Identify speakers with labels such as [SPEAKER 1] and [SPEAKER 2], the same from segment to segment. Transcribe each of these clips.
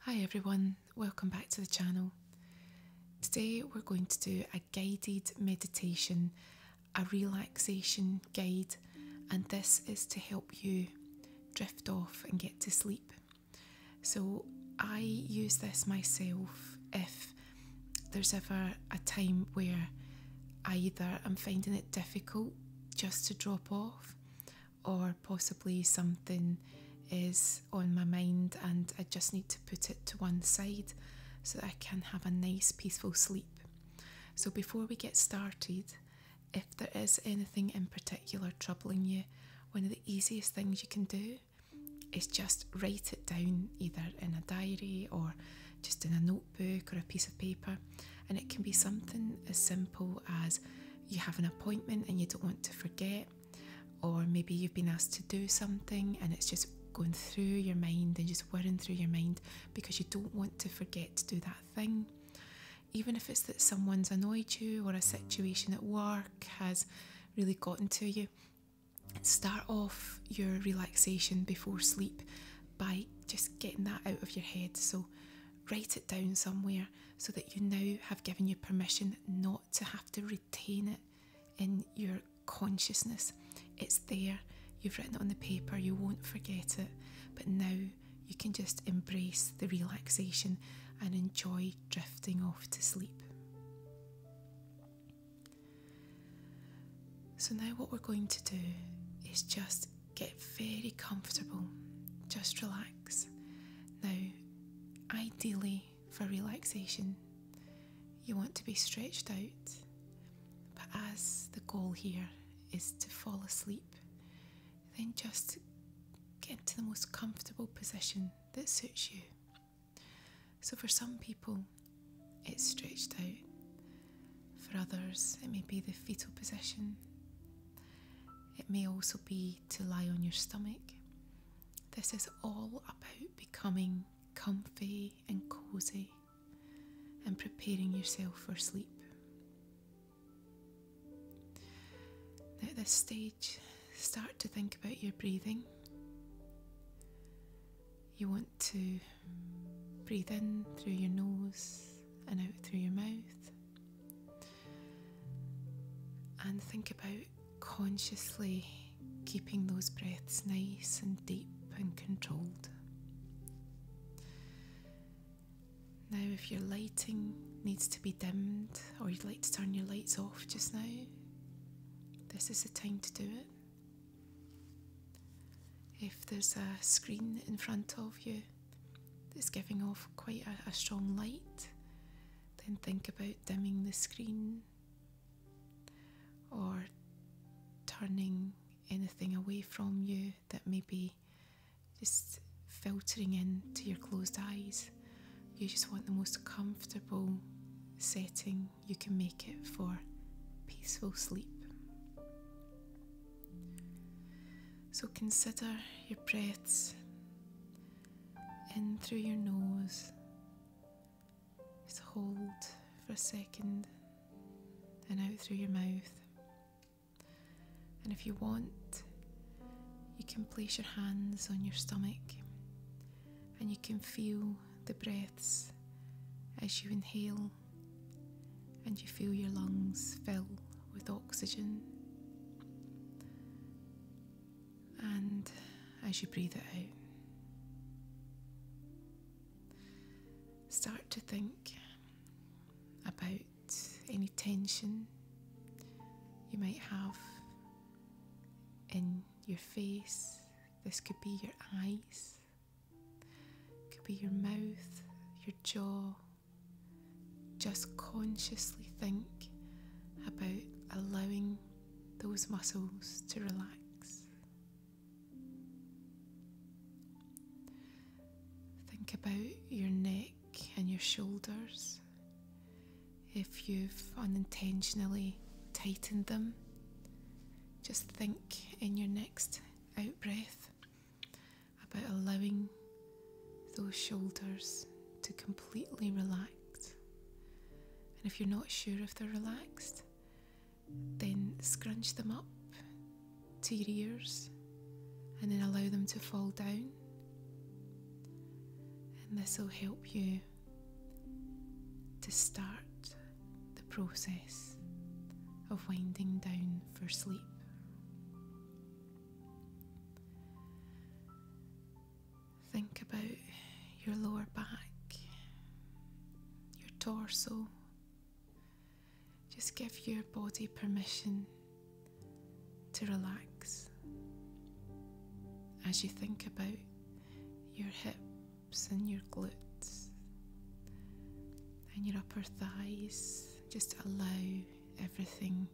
[SPEAKER 1] Hi everyone, welcome back to the channel. Today we're going to do a guided meditation, a relaxation guide, and this is to help you drift off and get to sleep. So I use this myself if there's ever a time where either I am finding it difficult just to drop off or possibly something is on my mind and I just need to put it to one side so I can have a nice peaceful sleep. So before we get started, if there is anything in particular troubling you, one of the easiest things you can do is just write it down either in a diary or just in a notebook or a piece of paper. And it can be something as simple as you have an appointment and you don't want to forget, or maybe you've been asked to do something and it's just going through your mind and just whirring through your mind because you don't want to forget to do that thing. Even if it's that someone's annoyed you or a situation at work has really gotten to you, start off your relaxation before sleep by just getting that out of your head. So, write it down somewhere so that you now have given you permission not to have to retain it in your consciousness. It's there, you've written it on the paper, you won't forget it, but now you can just embrace the relaxation and enjoy drifting off to sleep. So, now what we're going to do is just get very comfortable, just relax now, ideally for relaxation, you want to be stretched out, but as the goal here is to fall asleep, then just get into the most comfortable position that suits you. So, for some people, it's stretched out, for others, it may be the fetal position. It may also be to lie on your stomach. This is all about becoming comfy and cozy and preparing yourself for sleep. at this stage, start to think about your breathing. You want to breathe in through your nose and out through your mouth. And think about consciously keeping those breaths nice and deep and controlled. Now, if your lighting needs to be dimmed or you'd like to turn your lights off just now, this is the time to do it. If there's a screen in front of you, it's giving off quite a, a strong light, then think about dimming the screen or turning anything away from you that may be just filtering in to your closed eyes. You just want the most comfortable setting you can make it for peaceful sleep. So consider your breaths in through your nose. Just hold for a second and out through your mouth. And if you want, you can place your hands on your stomach and you can feel the breaths as you inhale and you feel your lungs fill with oxygen. And as you breathe it out, start to think about any tension you might have in your face. This could be your eyes, could be your mouth, your jaw just consciously think about allowing those muscles to relax. Think about your neck and your shoulders. If you've unintentionally tightened them, just think in your next out breath about allowing those shoulders to completely relax. And if you're not sure if they're relaxed, then scrunch them up to your ears and then allow them to fall down. And this will help you to start the process of winding down for sleep. Think about your lower back, your torso. Just give your body permission to relax as you think about your hips and your glutes and your upper thighs just allow everything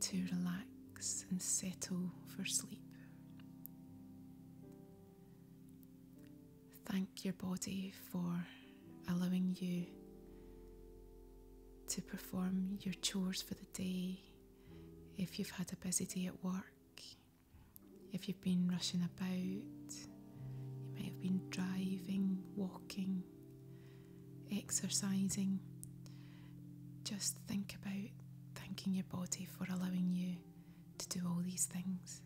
[SPEAKER 1] to relax and settle for sleep. Thank your body for allowing you to perform your chores for the day. If you've had a busy day at work, if you've been rushing about, you may have been driving, walking, exercising. Just think about thanking your body for allowing you to do all these things.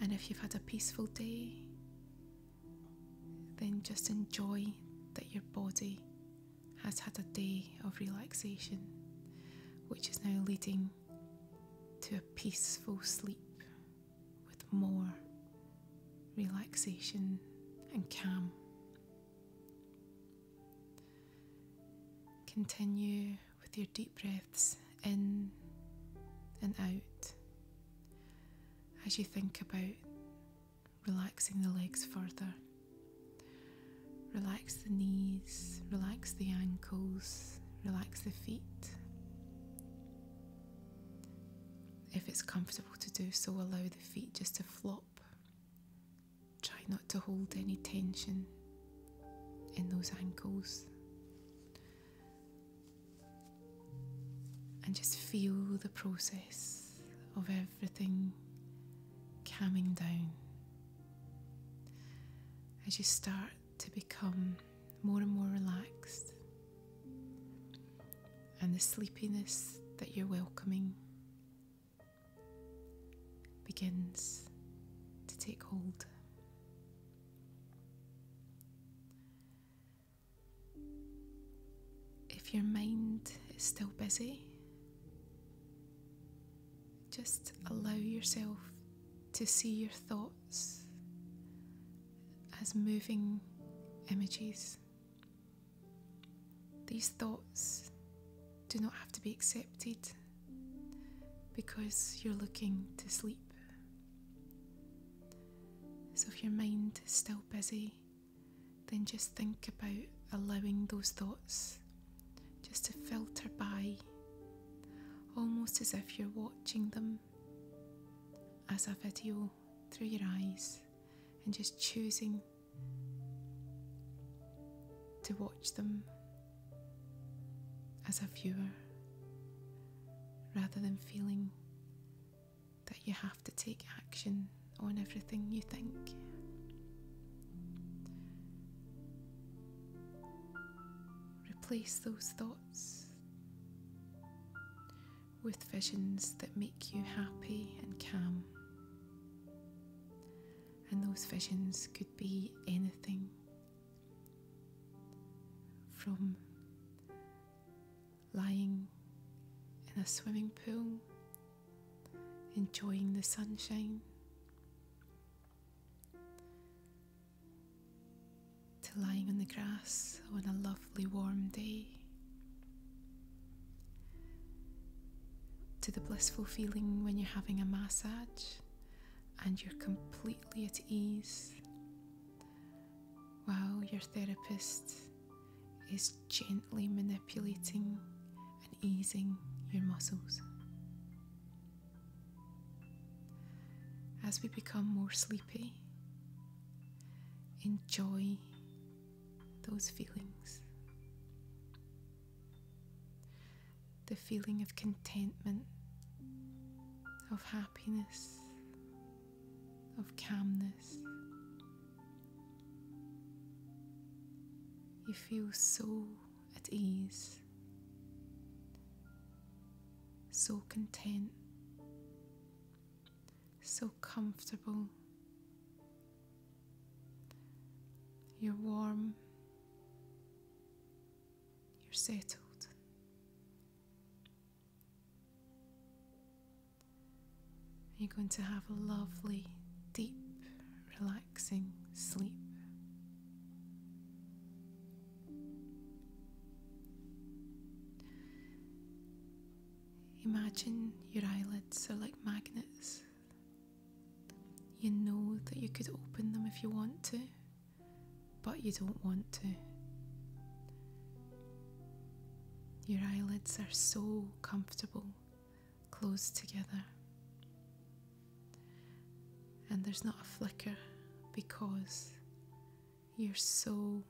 [SPEAKER 1] And if you've had a peaceful day, then just enjoy that your body has had a day of relaxation, which is now leading to a peaceful sleep with more relaxation and calm. Continue with your deep breaths in and out as you think about relaxing the legs further, relaxing Relax the knees, relax the ankles, relax the feet. If it's comfortable to do so, allow the feet just to flop. Try not to hold any tension in those ankles. And just feel the process of everything coming down as you start to become more and more relaxed, and the sleepiness that you're welcoming begins to take hold. If your mind is still busy, just allow yourself to see your thoughts as moving images. These thoughts do not have to be accepted because you're looking to sleep. So if your mind is still busy, then just think about allowing those thoughts just to filter by, almost as if you're watching them as a video through your eyes and just choosing to watch them as a viewer rather than feeling that you have to take action on everything you think. Replace those thoughts with visions that make you happy and calm. And those visions could be anything from lying in a swimming pool, enjoying the sunshine, to lying on the grass on a lovely warm day, to the blissful feeling when you're having a massage and you're completely at ease while your therapist is gently manipulating and easing your muscles. As we become more sleepy, enjoy those feelings. The feeling of contentment, of happiness, of calmness. You feel so at ease, so content, so comfortable. You're warm, you're settled. You're going to have a lovely, deep, relaxing relaxing sleep. Imagine your eyelids are like magnets. You know that you could open them if you want to, but you don't want to. Your eyelids are so comfortable close together. And there's not a flicker because you're so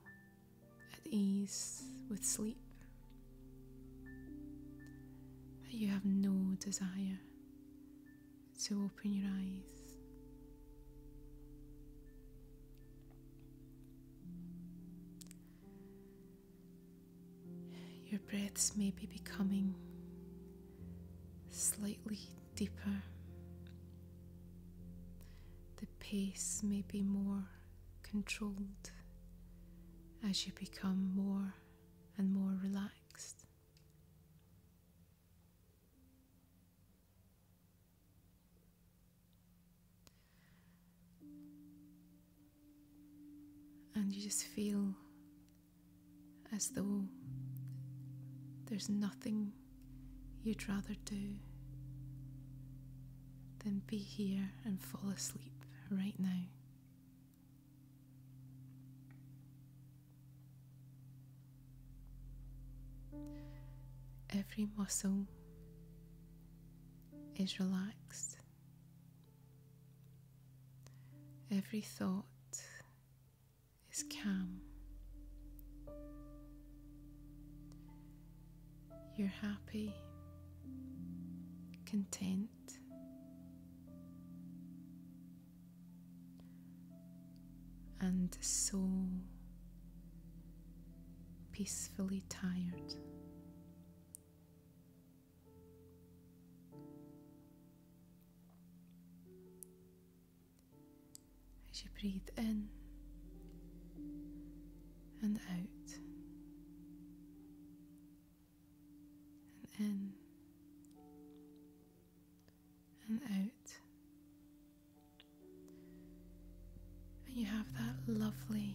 [SPEAKER 1] at ease with sleep that you have no desire to open your eyes. Your breaths may be becoming slightly deeper. The pace may be more controlled as you become more and more relaxed and you just feel as though there's nothing you'd rather do than be here and fall asleep right now. Every muscle is relaxed. Every thought is calm. You're happy, content, and so peacefully tired. As you breathe in and out, and in and out, and you have that lovely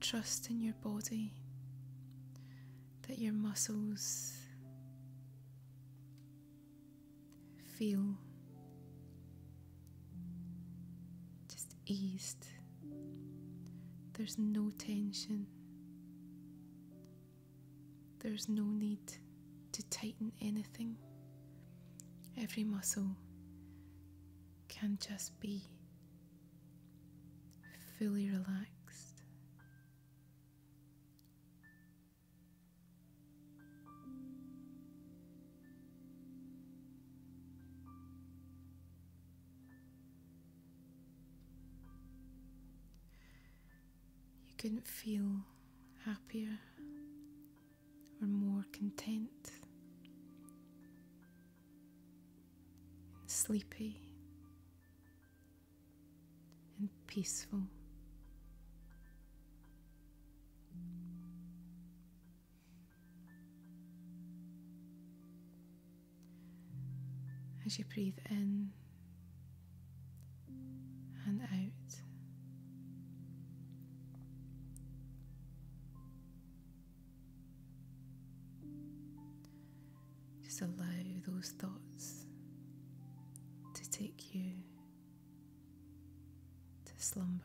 [SPEAKER 1] Trust in your body, that your muscles feel just eased. There's no tension. There's no need to tighten anything. Every muscle can just be fully relaxed. You couldn't feel happier or more content and sleepy and peaceful. As you breathe in and out. Just allow those thoughts to take you to slumber.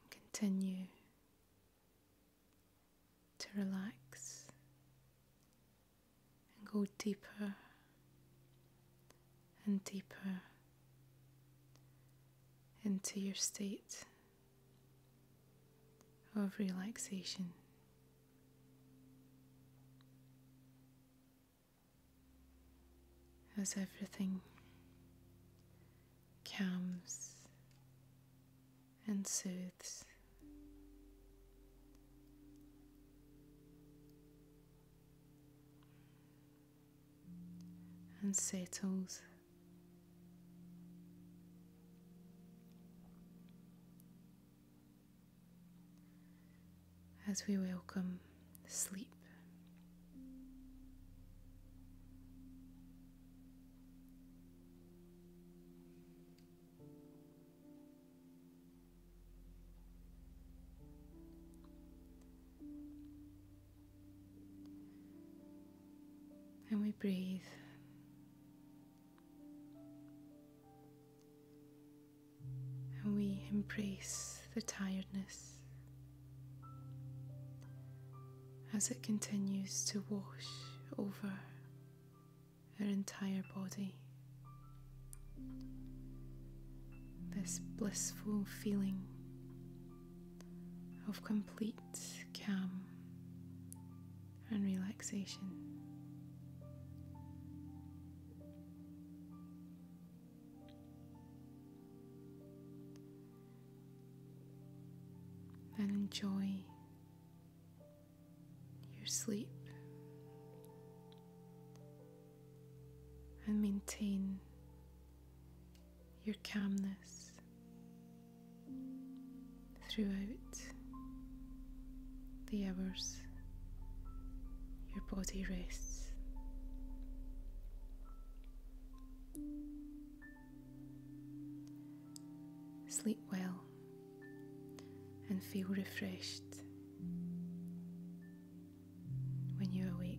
[SPEAKER 1] and continue to relax and go deeper and deeper into your state of relaxation as everything calms and soothes. And settles. as we welcome sleep. And we breathe. And we embrace the tiredness as it continues to wash over her entire body. This blissful feeling of complete calm and relaxation and enjoy your sleep and maintain your calmness throughout the hours your body rests. Sleep well and feel refreshed when you awake.